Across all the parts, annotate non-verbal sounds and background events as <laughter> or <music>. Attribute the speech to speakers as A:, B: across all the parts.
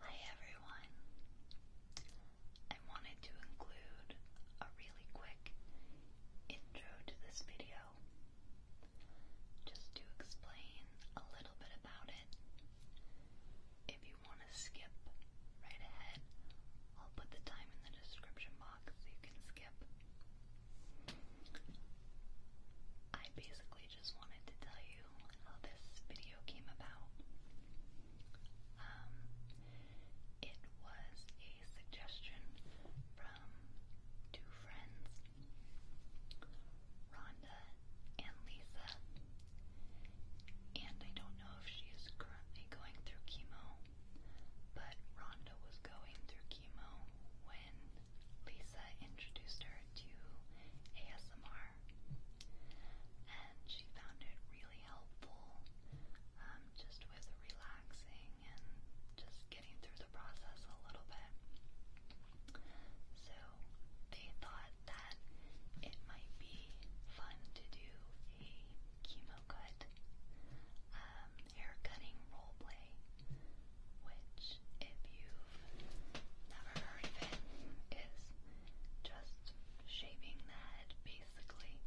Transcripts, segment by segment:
A: Hi everyone. I wanted to include a really quick intro to this video just to explain a little bit about it if you want to skip right ahead, I'll put the time in the description box so you can skip. I basically just wanted to tell you how this video came about. Um, it was a suggestion from two friends, Rhonda and Lisa, and I don't know if she is currently going through chemo, but Rhonda was going through chemo when Lisa introduced her to ASMR, and she found it really helpful um, just with relaxing and just getting through the process a little bit. So they thought that it might be fun to do a chemo cut um, hair cutting role play, which, if you've never heard of it, is just shaving the head basically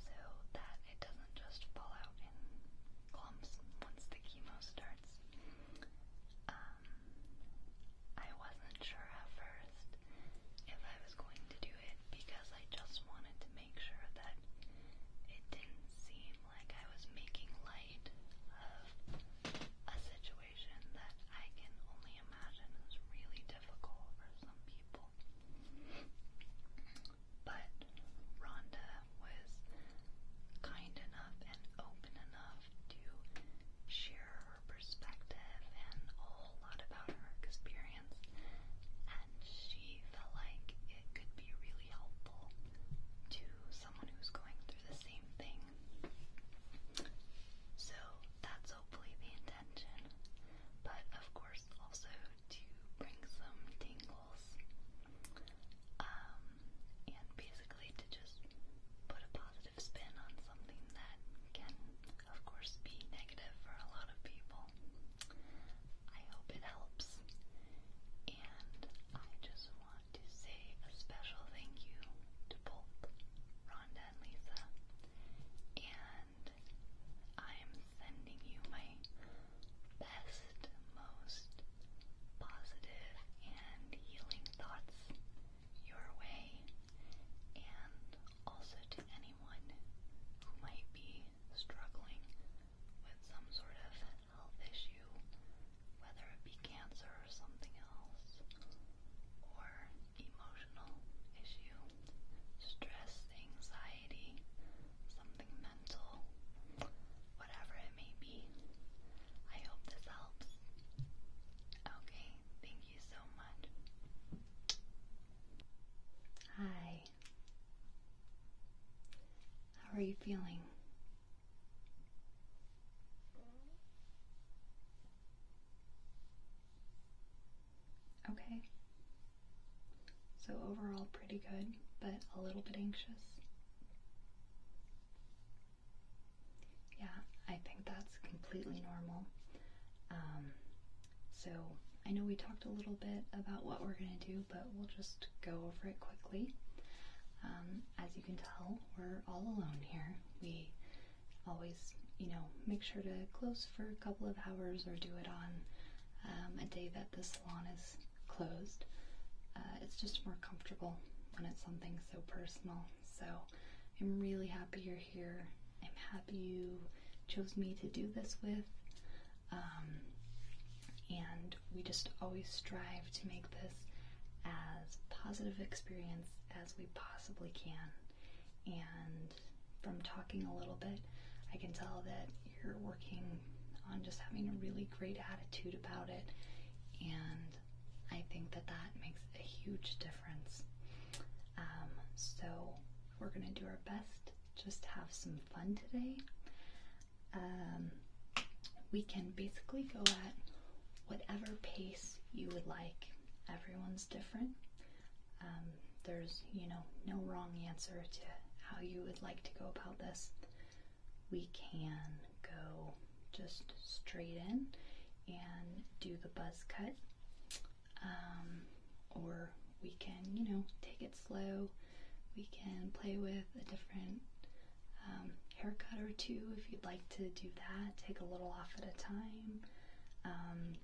A: so that it doesn't just fall out in clumps once the chemo starts. Um, I wasn't sure at first if I was going to do it because I just wanted to make sure that it didn't seem like I was making light of a situation that I can only imagine is really difficult for some people. But Rhonda was kind enough and open enough to share her perspective and a whole lot about her experience, and she felt like it could be really helpful to someone who's going through the same thing. So that's hopefully the intention, but of course, also to bring some tingles um, and basically to just put a positive spin on something that can, of course, be negative for a lot of people. I hope it helps. And I just want to say a special thank you to both Rhonda and Lisa. And I am sending you my best, most positive, and healing thoughts your way. And also to anyone who might be struggling with some sort of health issue, whether it be cancer or something else, or emotional issue, stress, anxiety, something mental, whatever it may be. I hope this helps. Okay, thank so much. Hi. How are you feeling? Okay. So overall pretty good, but a little bit anxious. Yeah, I think that's completely normal. Um, so I know we talked a little bit about what we're going to do, but we'll just go over it quickly. Um, as you can tell, we're all alone here. We always, you know, make sure to close for a couple of hours or do it on um, a day that the salon is closed. Uh, it's just more comfortable when it's something so personal. So I'm really happy you're here. I'm happy you chose me to do this with. Um, and we just always strive to make this as positive experience as we possibly can. And from talking a little bit, I can tell that you're working on just having a really great attitude about it. And I think that that makes a huge difference. Um, so we're gonna do our best just to have some fun today. Um, we can basically go at whatever pace you would like. Everyone's different. Um, there's, you know, no wrong answer to how you would like to go about this. We can go just straight in and do the buzz cut um, or we can, you know, take it slow. We can play with a different um, haircut or two if you'd like to do that. Take a little off at a time. Um,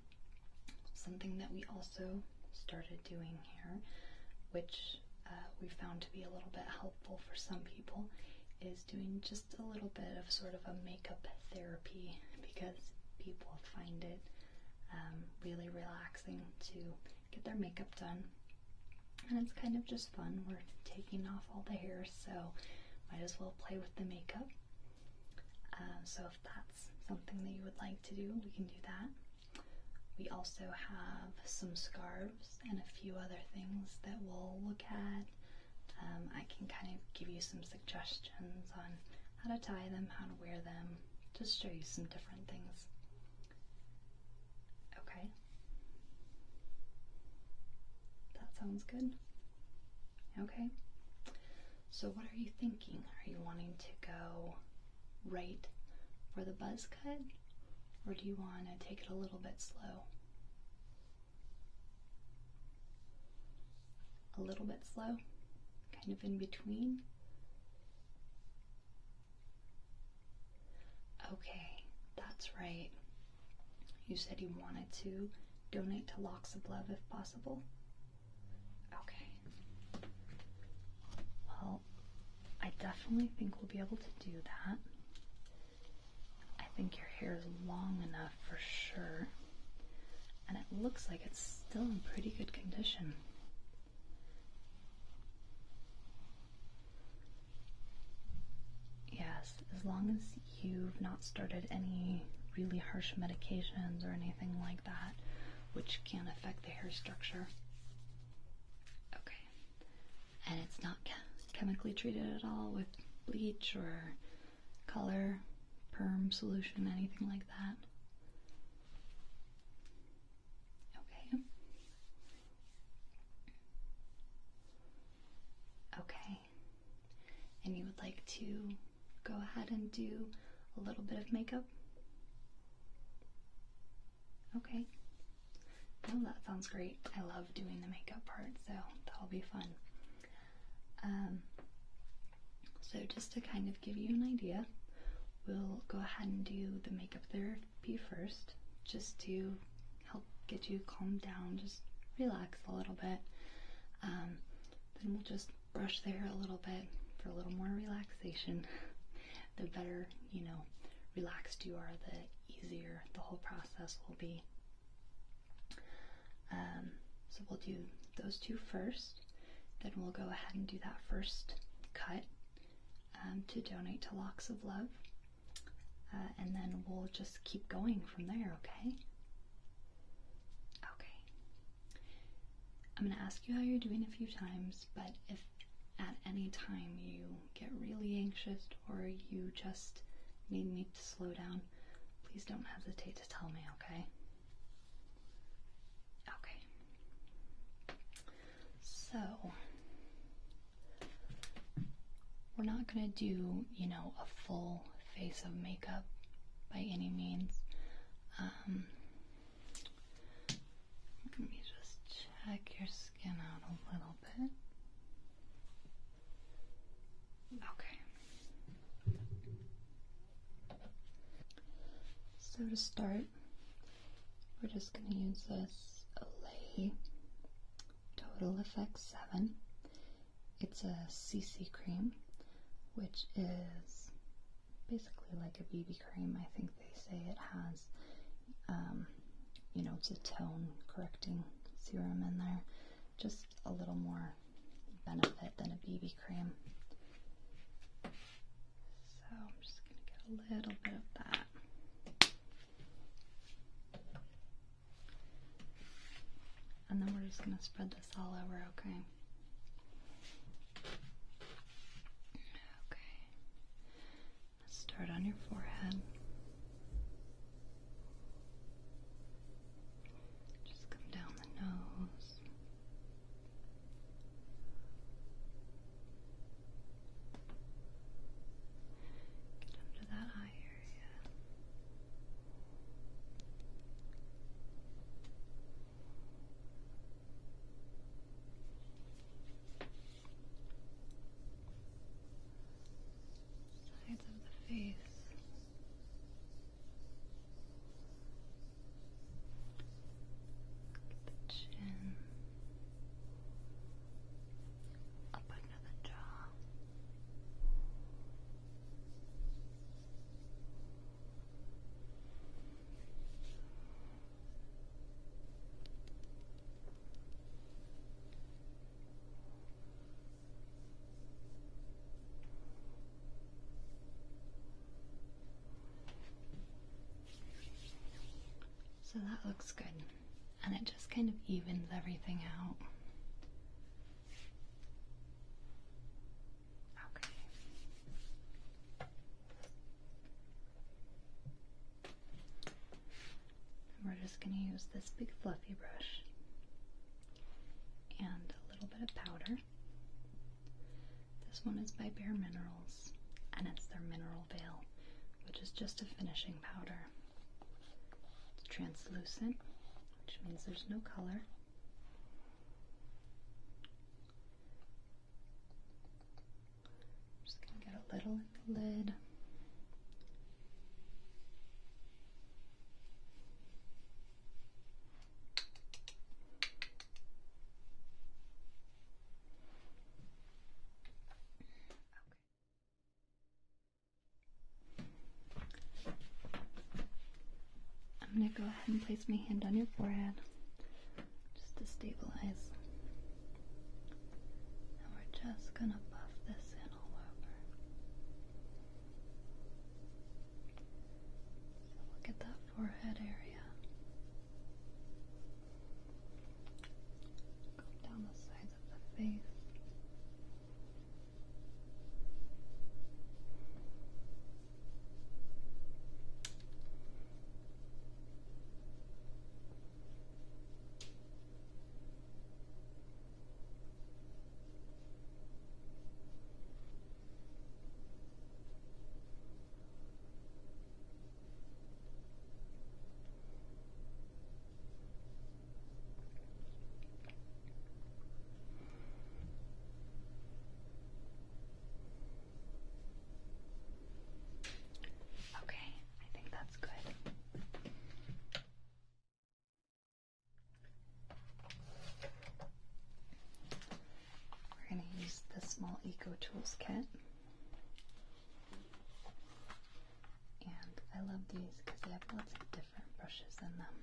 A: something that we also started doing here, which uh, we found to be a little bit helpful for some people, is doing just a little bit of sort of a makeup therapy because people find it um, really relaxing to get their makeup done. And it's kind of just fun. We're taking off all the hair, so might as well play with the makeup. Uh, so, if that's something that you would like to do, we can do that. We also have some scarves and a few other things that we'll look at. Um, I can kind of give you some suggestions on how to tie them, how to wear them, just show you some different things. Okay. That sounds good. Okay. So, what are you thinking? Are you wanting to go right for the buzz cut, or do you want to take it a little bit slow? a little bit slow, kind of in between. Okay, that's right. You said you wanted to donate to Locks of Love if possible? Okay. Well, I definitely think we'll be able to do that. I think your hair is long enough for sure and it looks like it's still in pretty good condition. Yes, as long as you've not started any really harsh medications or anything like that, which can affect the hair structure. Okay. And it's not chemically treated at all with bleach or color, perm solution, anything like that. Okay. Okay. And you would like to go ahead and do a little bit of makeup? Okay. No, that sounds great. I love doing the makeup part, so that'll be fun. Um, so just to kind of give you an idea, we'll go ahead and do the makeup therapy first, just to help get you calmed down, just relax a little bit. Um, then we'll just brush the hair a little bit for a little more relaxation. <laughs> the better, you know, relaxed you are, the easier the whole process will be. Um, so we'll do those two first, then we'll go ahead and do that first cut um, to donate to Locks of Love, uh, and then we'll just keep going from there, okay? Okay. I'm going to ask you how you're doing a few times, but if at any time you get really anxious or you just need me to slow down, please don't hesitate to tell me, okay? Okay. So we're not gonna do, you know, a full face of makeup by any means. Um, let me just check your skin out a little bit. Okay. So to start, we're just going to use this Olay Total Effect 7. It's a CC cream, which is basically like a BB cream. I think they say it has, um, you know, it's a tone correcting serum in there. Just a little more benefit than a BB cream. So I'm just going to get a little bit of that. And then we're just going to spread this all over, okay? Okay. Let's start on your forehead. Just come down the nose. Get under that eye area. Sides of the face the chin, up under the jaw. So that looks good. And it just kind of evens everything out. Okay. we're just going to use this big fluffy brush and a little bit of powder. This one is by Bare Minerals, and it's their mineral veil, which is just a finishing powder. It's translucent, which means there's no color. just going to get a little in the lid. I'm going to go ahead and place my hand on your forehead just to stabilize. And we're just going to buff this in all over. So we that forehead area. Go down the sides of the face. Okay, I think that's good. We're going to use the small Eco Tools kit. And I love these because they have lots of different brushes in them.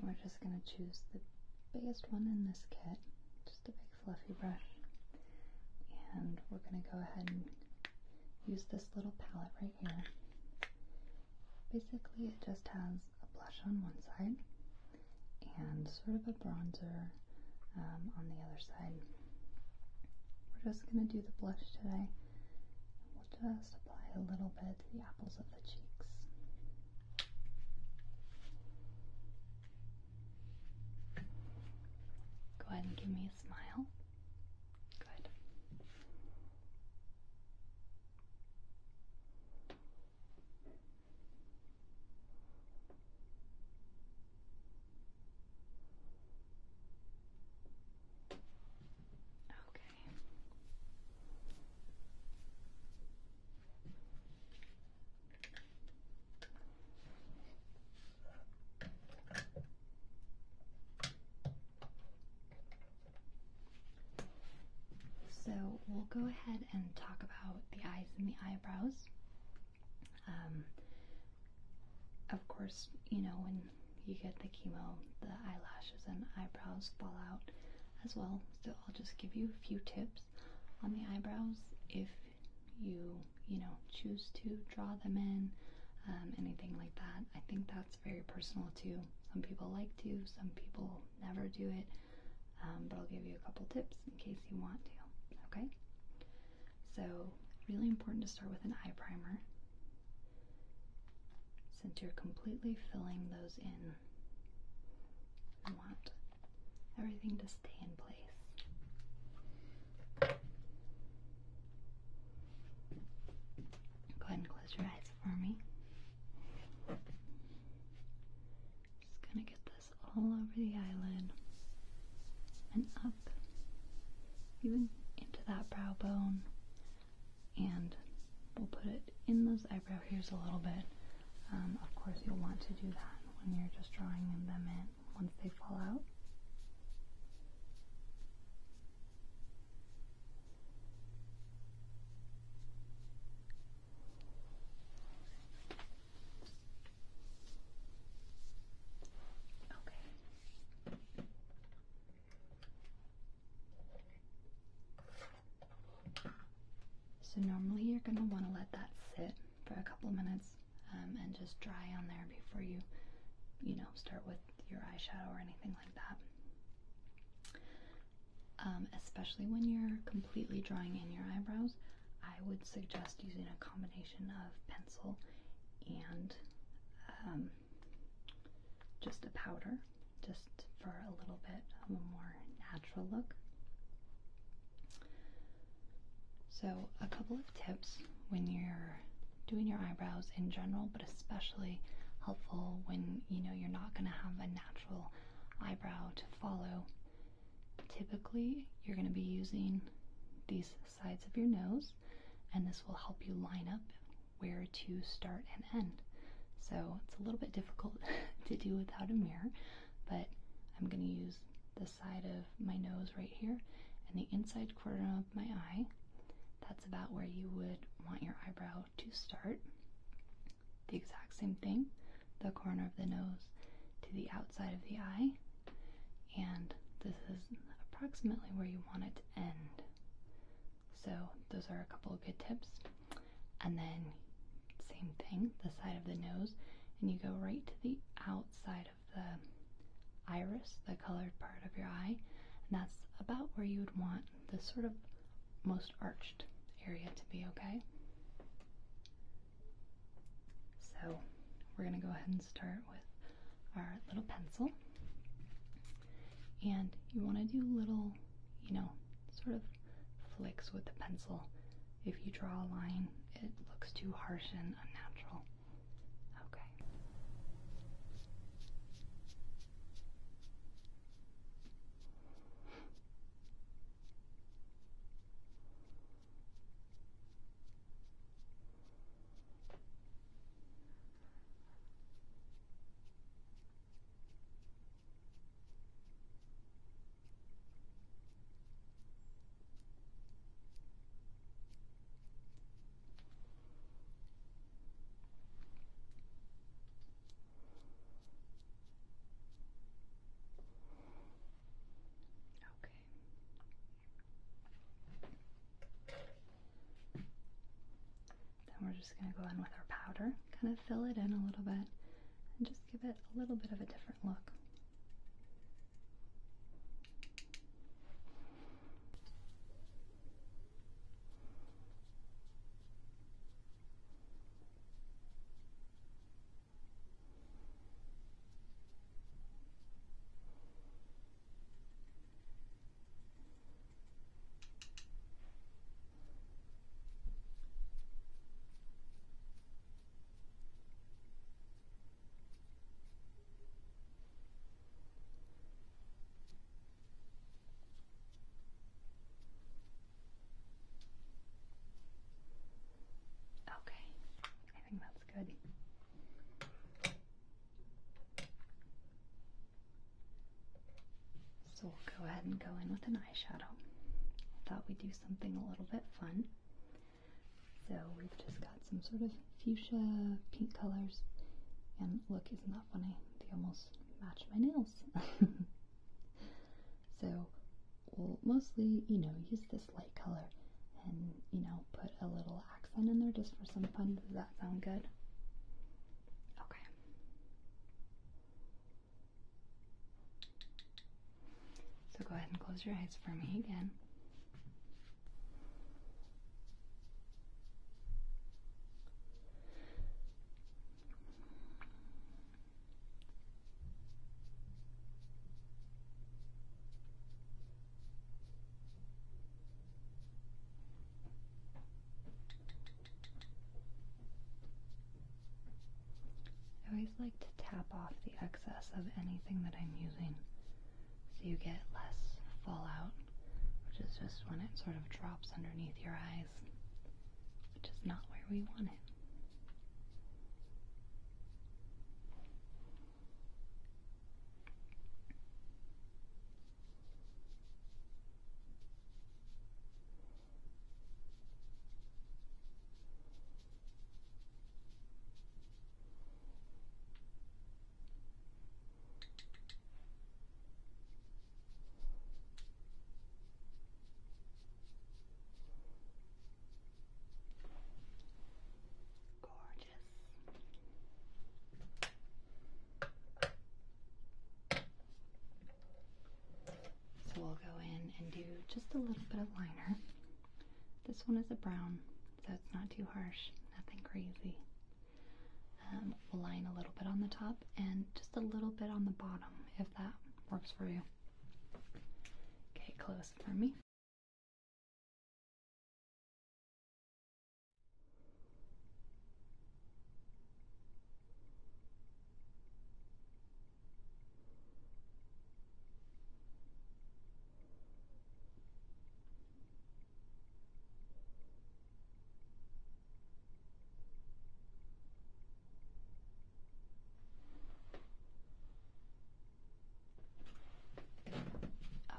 A: We're just going to choose the biggest one in this kit, just a big fluffy brush, and we're going to go ahead and use this little palette right here. Basically, it just has a blush on one side and sort of a bronzer um, on the other side. We're just going to do the blush today. We'll just apply a little bit to the apples of the cheeks. Go ahead and give me a smile. Good. Okay. So we'll go ahead and talk about the eyes and the eyebrows. Um, of course, you know, when you get the chemo, the eyelashes and eyebrows fall out as well. So I'll just give you a few tips on the eyebrows if you, you know, choose to draw them in, um, anything like that. I think that's very personal too. Some people like to, some people never do it. Um, but I'll give you a couple tips in case you want to. Okay? So, really important to start with an eye primer since you're completely filling those in I want everything to stay in place. Go ahead and close your eyes for me. Just gonna get this all over the eyelid and up, even into that brow bone, and we'll put it in those eyebrow hairs a little bit. Um, of course, you'll want to do that when you're just drawing them in once they fall out. Okay. So normally you're going to want to let that sit for a couple of minutes um, and just dry on there before you, you know, start with your eyeshadow or anything like that. Um, especially when you're completely drawing in your eyebrows, I would suggest using a combination of pencil and um, just a powder just for a little bit of a more natural look. So, a couple of tips when you're doing your eyebrows in general, but especially helpful when you know you're not going to have a natural eyebrow to follow. Typically, you're going to be using these sides of your nose, and this will help you line up where to start and end. So, it's a little bit difficult <laughs> to do without a mirror, but I'm going to use the side of my nose right here and the inside corner of my eye. That's about where you would want your eyebrow to start. The exact same thing, the corner of the nose to the outside of the eye, and this is approximately where you want it to end. So, those are a couple of good tips and then same thing, the side of the nose, and you go right to the outside of the iris, the colored part of your eye, and that's about where you would want the sort of most arched area to be, okay? So we're going to go ahead and start with our little pencil. And you want to do little you know, sort of flicks with the pencil. If you draw a line, it looks too harsh and unnatural. Okay. Then we're just going to go in with our powder, kind of fill it in a little bit, and just give it a little bit of a different look. Okay, I think that's good. So we'll go ahead and go in with an eyeshadow. I thought we'd do something a little bit fun. So we've just got some sort of fuchsia pink colors. And look, isn't that funny? They almost match my nails. <laughs> so we'll mostly, you know, use this light color and, you know, put a little accent in there just for some fun. Does that sound good? Okay. So go ahead and close your eyes for me again. I always like to tap off the excess of anything that I'm using so you get less fallout, which is just when it sort of drops underneath your eyes, which is not where we want it. Gorgeous. So we'll go in and do just a little bit of liner. This one is a brown, so it's not too harsh, nothing crazy. Um, we'll line a little bit on the top and just a little bit on the bottom if that works for you. Okay, close for me.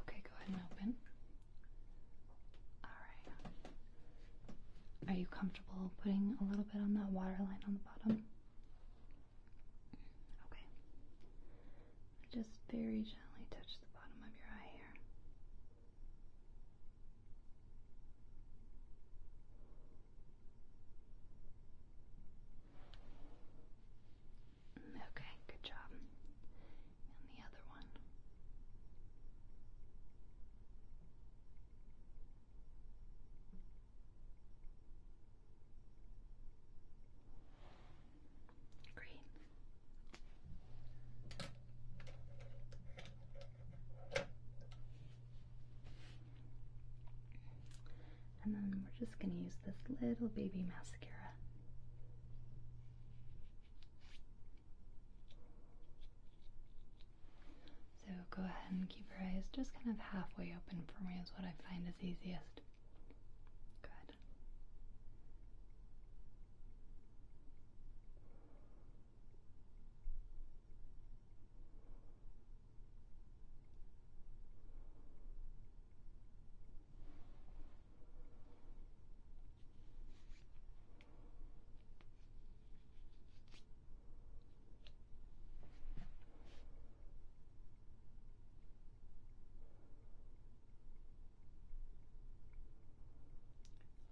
A: Okay, go ahead and open. All right. Are you comfortable putting a little bit on that water line on the bottom? Okay. Just very gently touch the bottom of your eye here. Okay, good job. And the other one. Green. And then we're just going to use this little baby mascara. So go ahead and keep your eyes just kind of halfway open for me, is what I find is easiest. Good.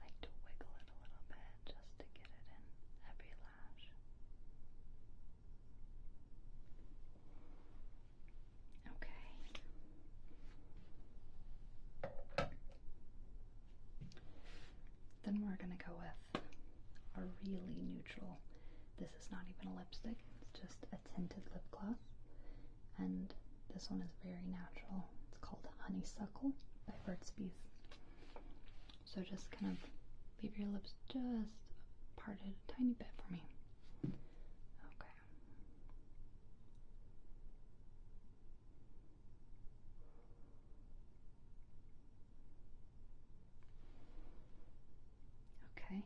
A: Like to wiggle it a little bit just to get it in every lash. Okay. Then we're going to go with are really neutral. This is not even a lipstick, it's just a tinted lip gloss. And this one is very natural. It's called Honeysuckle by Burt's Bees. So just kind of leave your lips just parted a tiny bit for me. Okay. Okay.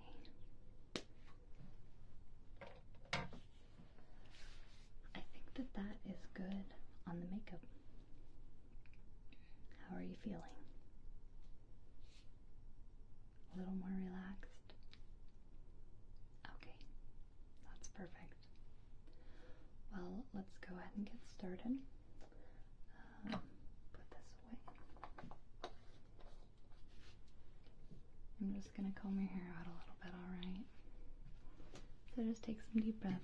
A: I think that that is good on the makeup. How are you feeling? A little more relaxed? Okay, that's perfect. Well, let's go ahead and get started. Um, put this I'm just going to comb your hair out a little bit, alright? So just take some deep breaths.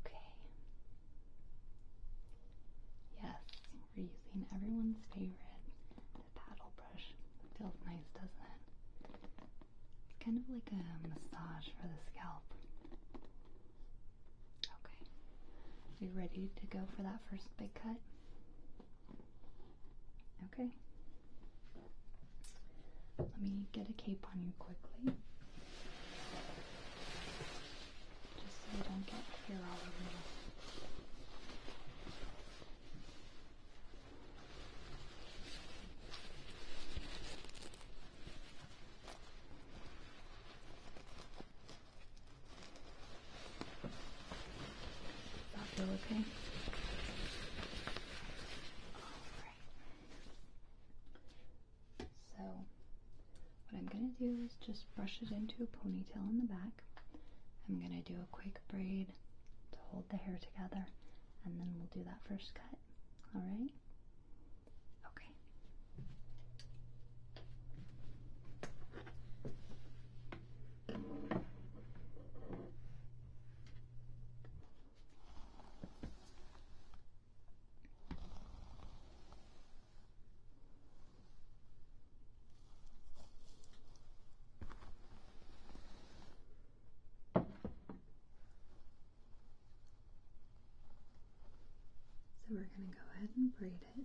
A: Okay. Yes, we're using everyone's favorite, the paddle brush. Feels nice, doesn't it? It's kind of like a massage for the scalp. Okay. Are you ready to go for that first big cut? Okay. Let me get a cape on you quickly. Just so you don't get hair all over you. Does that feel okay? So, what I'm going to do is just brush it into a ponytail in the back. I'm going to do a quick braid to hold the hair together, and then we'll do that first cut. Alright? Okay. So we're going to go ahead and braid it.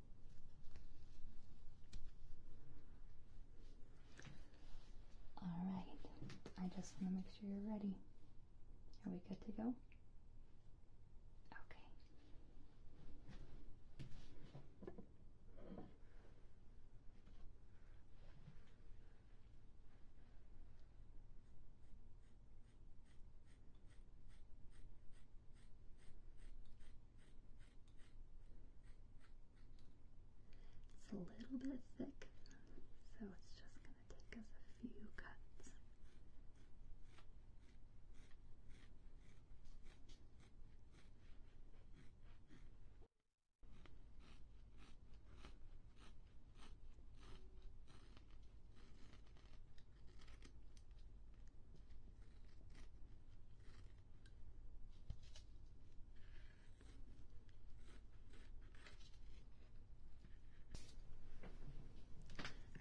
A: Alright, I just want to make sure you're ready. Are we good to go? Okay. It's a little bit thick, so it's just going to take us a few cuts.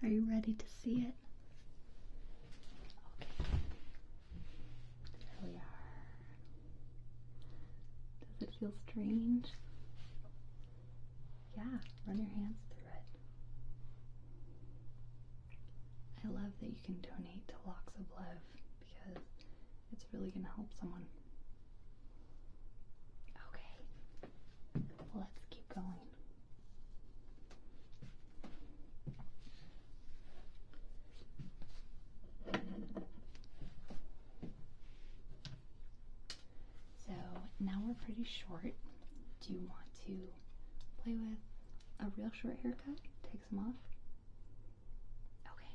A: Are you ready to see it? Okay. There we are. Does it feel strange? Yeah, run your hands through it. I love that you can donate to Locks of Love because it's really going to help someone. Okay, let's keep going. So now we're pretty short, do you want to play with a real short haircut? Take some off? Okay.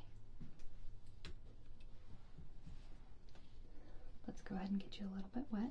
A: Let's go ahead and get you a little bit wet.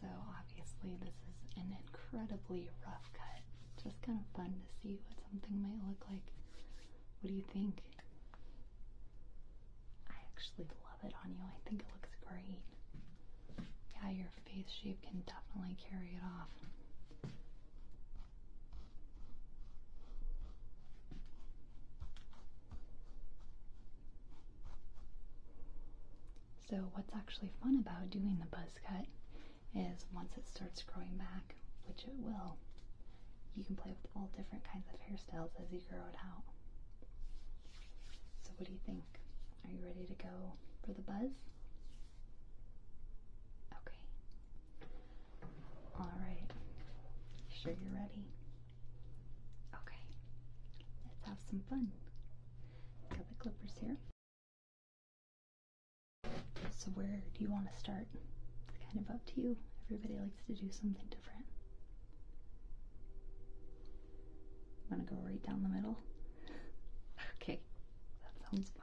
A: So obviously this is an incredibly rough cut. Just kind of fun to see what something might look like. What do you think? I actually love it on you. I think it looks great. Yeah, your face shape can definitely carry it off. So what's actually fun about doing the buzz cut is once it starts growing back, which it will, you can play with all different kinds of hairstyles as you grow it out. So what do you think? Are you ready to go for the buzz? Okay. Alright. Sure you're ready. Okay, let's have some fun. Got the clippers here. So, where do you want to start? It's kind of up to you. Everybody likes to do something different. I'm going to go right down the middle. Okay, that sounds fun.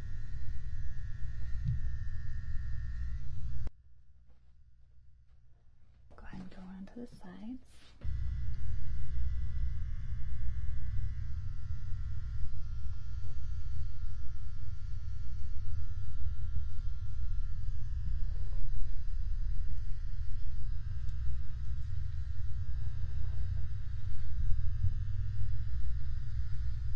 A: Go ahead and go around to the sides.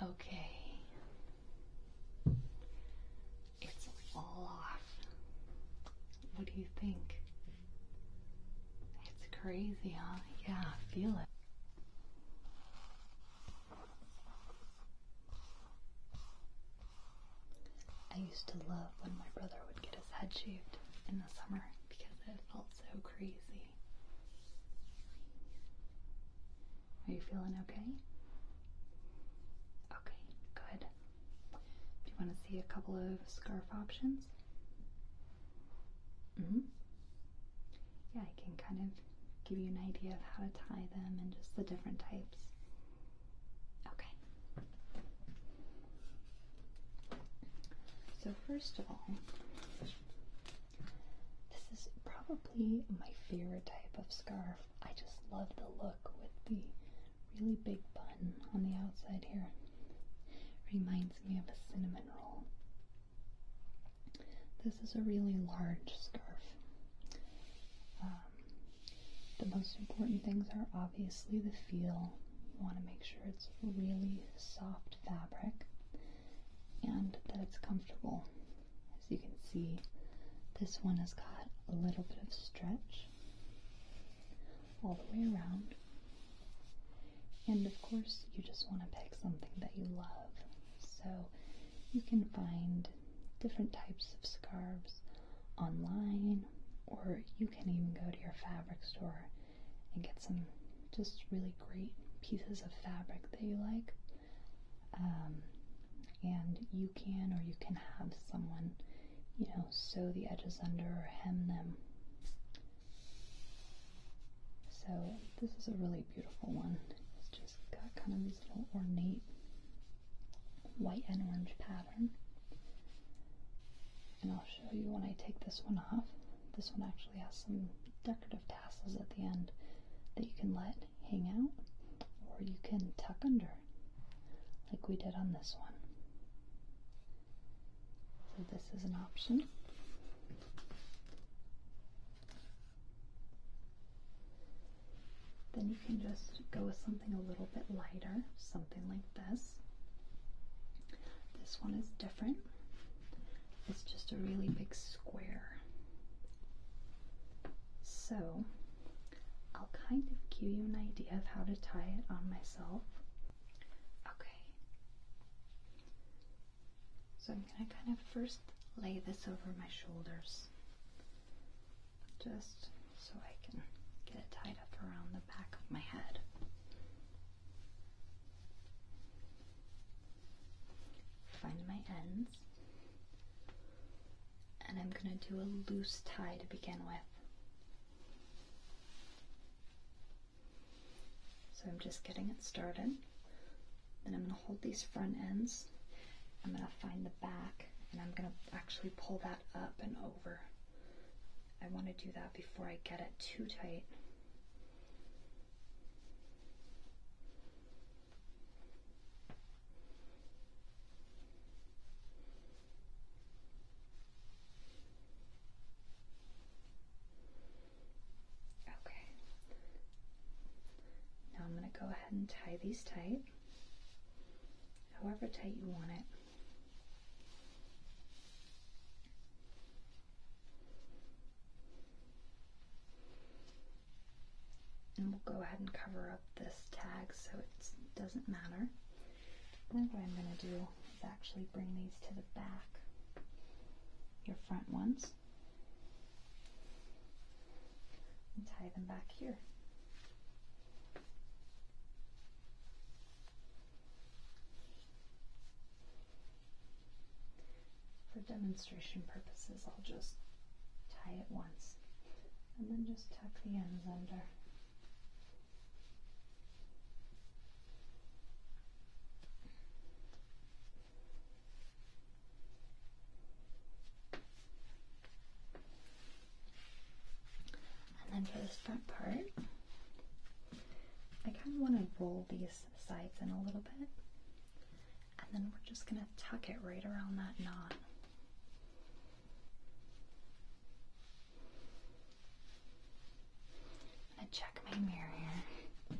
A: Okay. It's off. What do you think? It's crazy, huh? Yeah, I feel it. I used to love when my brother would get head shaved in the summer because it felt so crazy. Are you feeling okay? Okay, good. Do you want to see a couple of scarf options? Mm-hmm. Yeah, I can kind of give you an idea of how to tie them and just the different types. Okay, so, first of all, this is probably my favorite type of scarf. I just love the look with the really big bun on the outside here. Reminds me of a cinnamon roll. This is a really large scarf. Um, the most important things are obviously the feel you want to make sure it's really soft fabric and that it's comfortable. As you can see, this one has got a little bit of stretch all the way around. And of course, you just want to pick something that you love. So you can find different types of scarves online, or you can even go to your fabric store and get some just really great pieces of fabric that you like. Um, and you can or you can have someone, you know, sew the edges under or hem them. So this is a really beautiful one. It's just got kind of these little ornate white and orange patterns. And I'll show you when I take this one off. This one actually has some decorative tassels at the end that you can let hang out or you can tuck under, like we did on this one. So, this is an option. Then you can just go with something a little bit lighter, something like this. This one is different. It's just a really big square. So, I'll kind of give you an idea of how to tie it on myself. Okay. So, I'm going to kind of first lay this over my shoulders just so I can get it tied up around the back of my head. Find my ends. And I'm going to do a loose tie to begin with. So I'm just getting it started. Then I'm going to hold these front ends. I'm going to find the back and I'm going to actually pull that up and over. I want to do that before I get it too tight. Okay. Now I'm going to go ahead and tie these tight, however tight you want it. And we'll go ahead and cover up this tag so it doesn't matter. Then what I'm going to do is actually bring these to the back, your front ones, and tie them back here. For demonstration purposes, I'll just tie it once and then just tuck the ends under. And then for this front part, I kind of want to roll these sides in a little bit. And then we're just going to tuck it right around that knot. going to check my mirror here.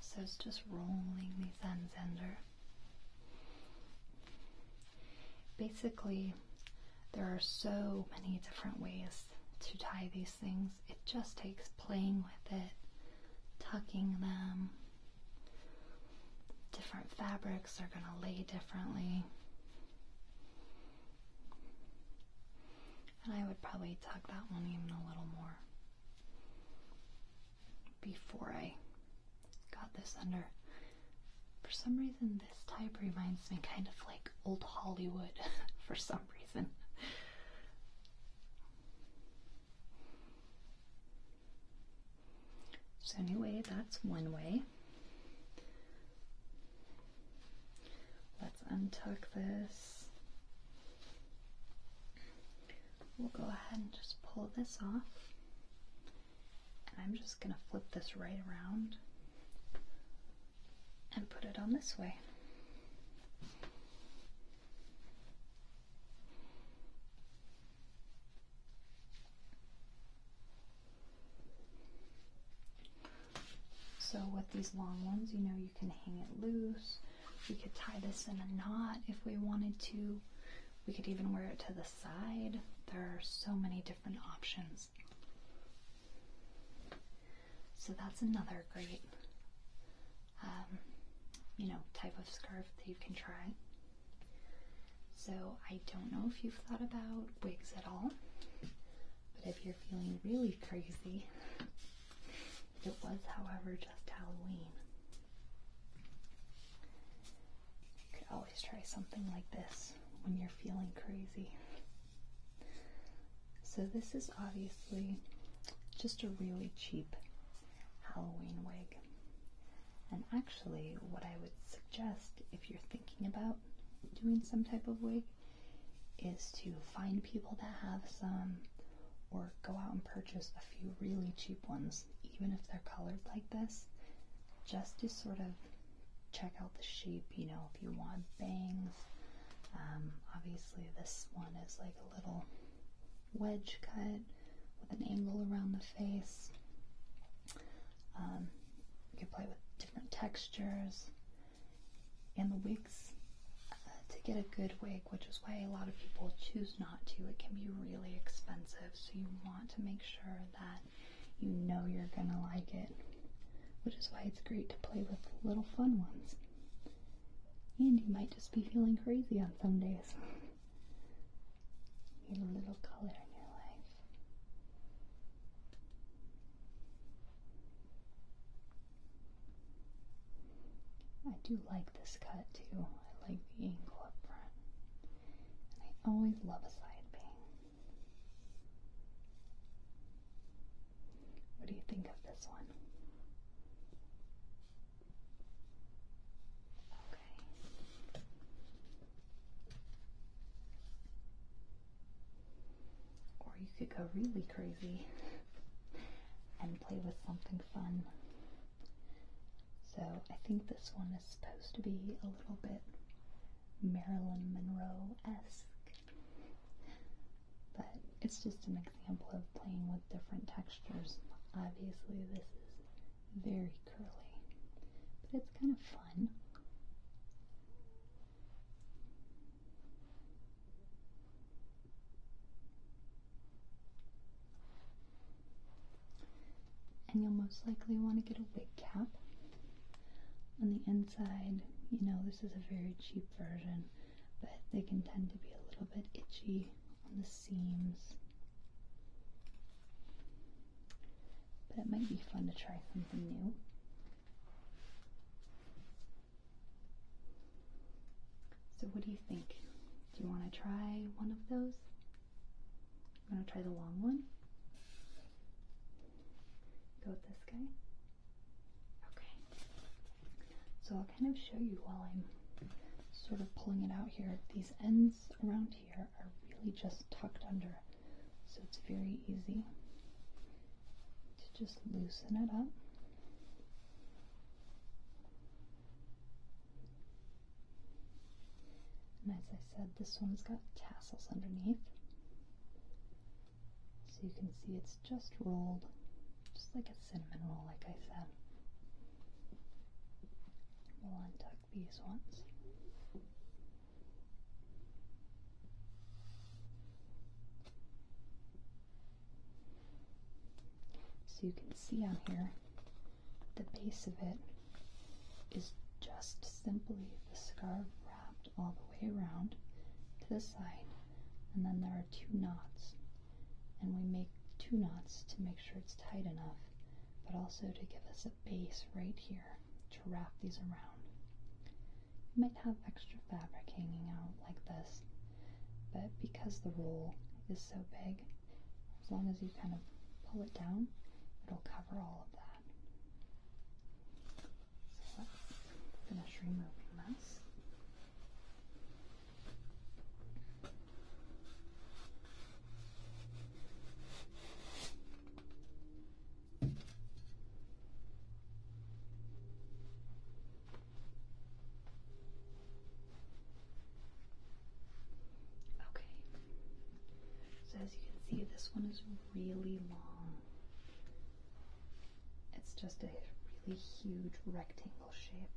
A: So it's just rolling these ends under. Basically, there are so many different ways to tie these things, it just takes playing with it, tucking them. Different fabrics are going to lay differently. And I would probably tuck that one even a little more before I got this under. For some reason, this type reminds me kind of like old Hollywood <laughs> for some some So, anyway, that's one way. Let's untuck this. We'll go ahead and just pull this off. And I'm just going to flip this right around and put it on this way. So with these long ones, you know, you can hang it loose. We could tie this in a knot if we wanted to. We could even wear it to the side. There are so many different options. So that's another great, um, you know, type of scarf that you can try. So I don't know if you've thought about wigs at all, but if you're feeling really crazy, it was, however, just Halloween. You could always try something like this when you're feeling crazy. So this is obviously just a really cheap Halloween wig. And actually, what I would suggest if you're thinking about doing some type of wig is to find people that have some or go out and purchase a few really cheap ones, even if they're colored like this, just to sort of check out the shape you know, if you want bangs. Um, obviously, this one is like a little wedge cut with an angle around the face. Um, you can play with different textures and the wigs. Uh, to get a good wig, which is why a lot of people choose not to, it can be really expensive. So you want to make sure that you know you're gonna like it, which is why it's great to play with little fun ones. And you might just be feeling crazy on some days. Need a little color in your life. I do like this cut too. I like the angle up front. And I always love a side bang. What do you think of this one? Okay. Or you could go really crazy and play with something fun. So I think this one is supposed to be a little bit Marilyn Monroe esque. But it's just an example of playing with different textures. Obviously, this is very curly, but it's kind of fun. And you'll most likely want to get a wig cap. On the inside, you know, this is a very cheap version but they can tend to be a little bit itchy on the seams. But it might be fun to try something new. So, what do you think? Do you want to try one of those? I'm going to try the long one. Go with this guy. Okay. So I'll kind of show you while I'm sort of pulling it out here. These ends around here are really just tucked under, so it's very easy to just loosen it up. And as I said, this one's got tassels underneath. So you can see it's just rolled, just like a cinnamon roll, like I said. We'll untuck these ones. So you can see on here, the base of it is just simply the scarf wrapped all the way around to the side, and then there two knots, and we make two knots to make sure it's tight enough, but also to give us a base right here to wrap these around. You might have extra fabric hanging out like this, but because the roll is so big, as long as you kind of pull it down, it'll cover all of that. let's finish removing this. Okay. So as you can see, this one is really long. It's just a really huge rectangle shape.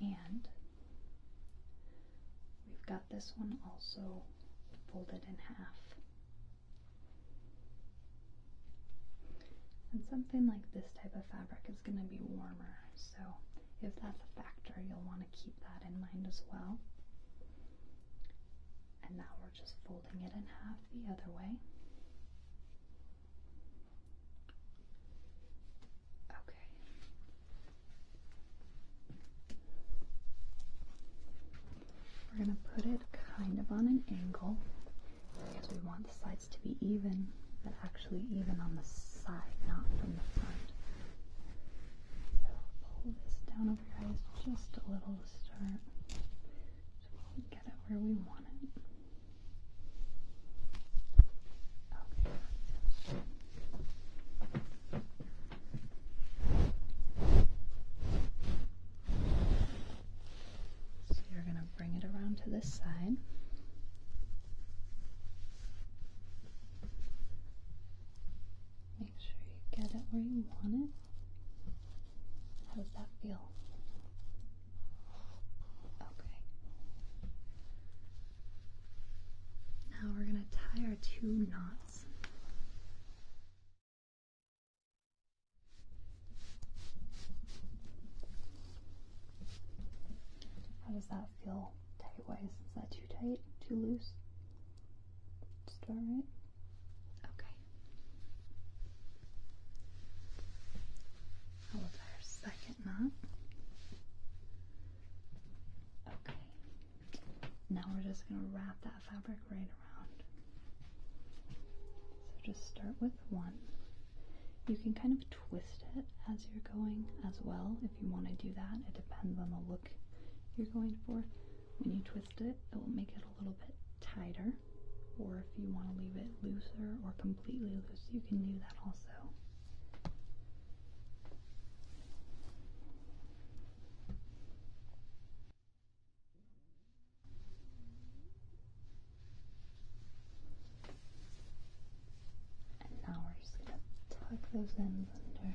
A: And we've got this one also folded in half. And something like this type of fabric is going to be warmer, so if that's a factor, you'll want to keep that in mind as well. And now just folding it in half the other way. Okay. We're going to put it kind of on an angle we want the sides to be even, but actually even on the side, not from the front. So pull this down over your eyes just a little to start so we get it where we want it. So you're going to bring it around to this side. Make sure you get it where you want it. How does that feel? Okay. Now we're going to tie our two knots. How does that feel tight wise? Is that too tight? Too loose? Just alright? Okay. Hold our second knot. Okay. Now we're just going to wrap that fabric right around. So just start with one. You can kind of twist it as you're going as well if you want to do that. It depends on the look you're going for. When you twist it, it will make it a little bit tighter or if you want to leave it looser or completely loose, you can do that also. And now we're just going to tuck those ends under.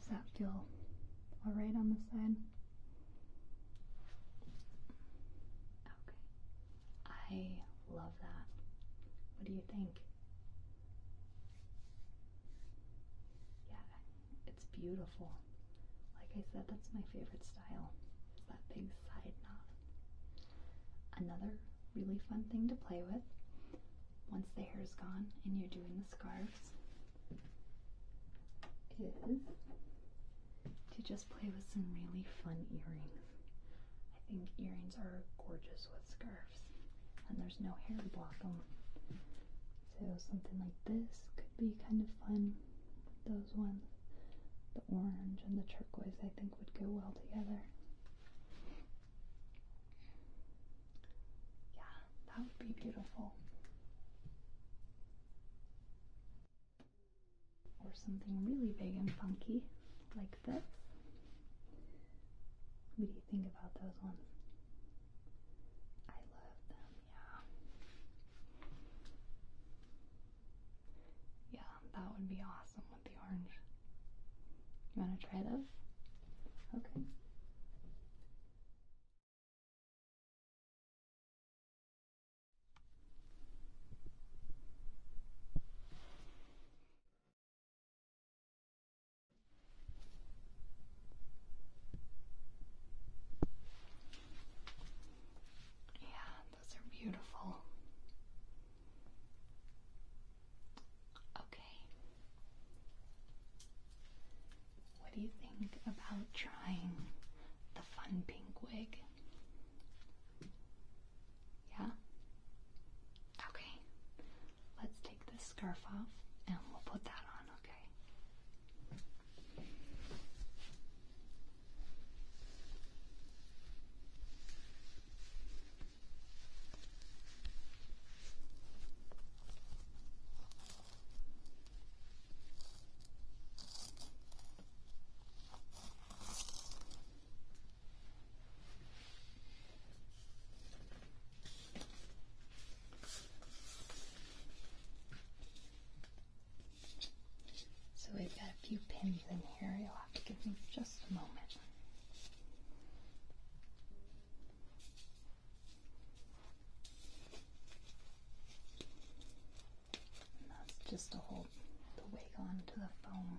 A: Does that feel all right on the side? Okay. I love that. What do you think? Yeah, it's beautiful. Like I said, that's my favorite style. Is that big side knot. Another really fun thing to play with once the hair is gone and you're doing the scarves is to just play with some really fun earrings. I think earrings are gorgeous with scarves and there's no hair to block them. So something like this could be kind of fun. Those ones, the orange and the turquoise I think would go well together. Yeah, that would be beautiful. Or something really big and funky like this. What do you think about those ones? I love them, yeah. Yeah, that would be awesome the orange. You want to try those? Okay. Yeah, those are beautiful. Okay, what do you think about trying the fun pink wig? Yeah? Okay. Let's take this scarf off and we'll put that on, okay? So we've got a few pins in here. You'll have to give me just a moment that's just to hold the wig onto the foam.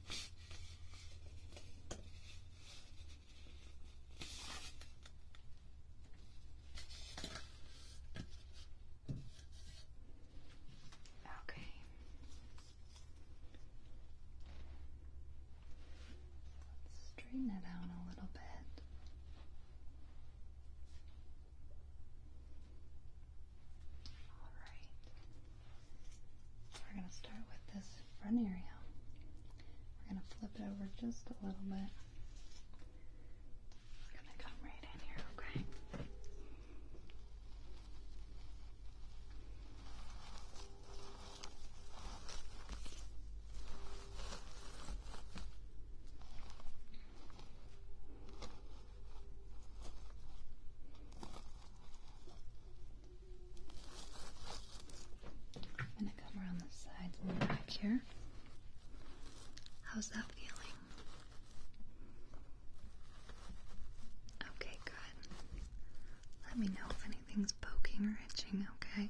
A: Okay. Let's straighten it out a little bit. All right. We're going to start with this front area. We're going to flip it over just a little bit. We're going to come right in here, okay? I'm gonna come around the sides here. How's that feeling? Okay, good. Let me know if anything's poking or itching, okay?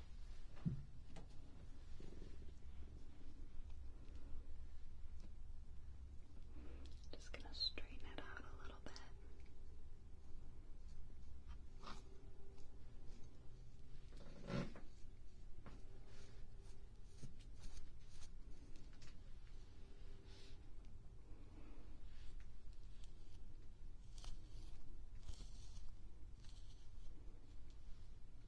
A: Just going to straighten it out a little bit.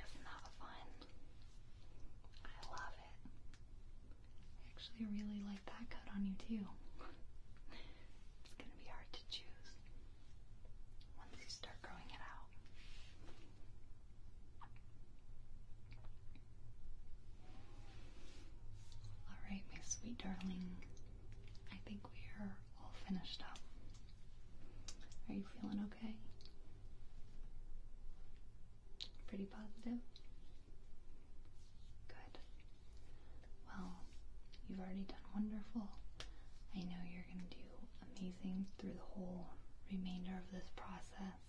A: Isn't that fun? I love it. actually really like that cut on you too. it's gonna be hard to choose once you start growing it out. Alright, my sweet darling. I think we are all finished up. Are you feeling okay? Pretty positive? Good. Well, you've already done wonderful. I know you're going to do amazing through the whole remainder of this process,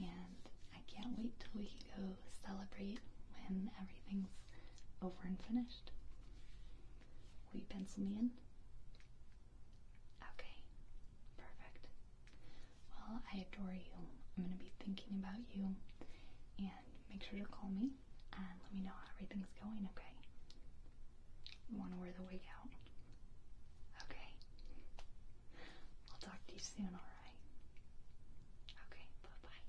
A: and I can't wait till we can go celebrate when everything's over and finished. Will you pencil me in? Okay, perfect. Well, I adore you. I'm going to be thinking about you. And make sure to call me and let me know how everything's going, okay? You want to wear the wig out? Okay. I'll talk to you soon, alright? Okay, bye bye.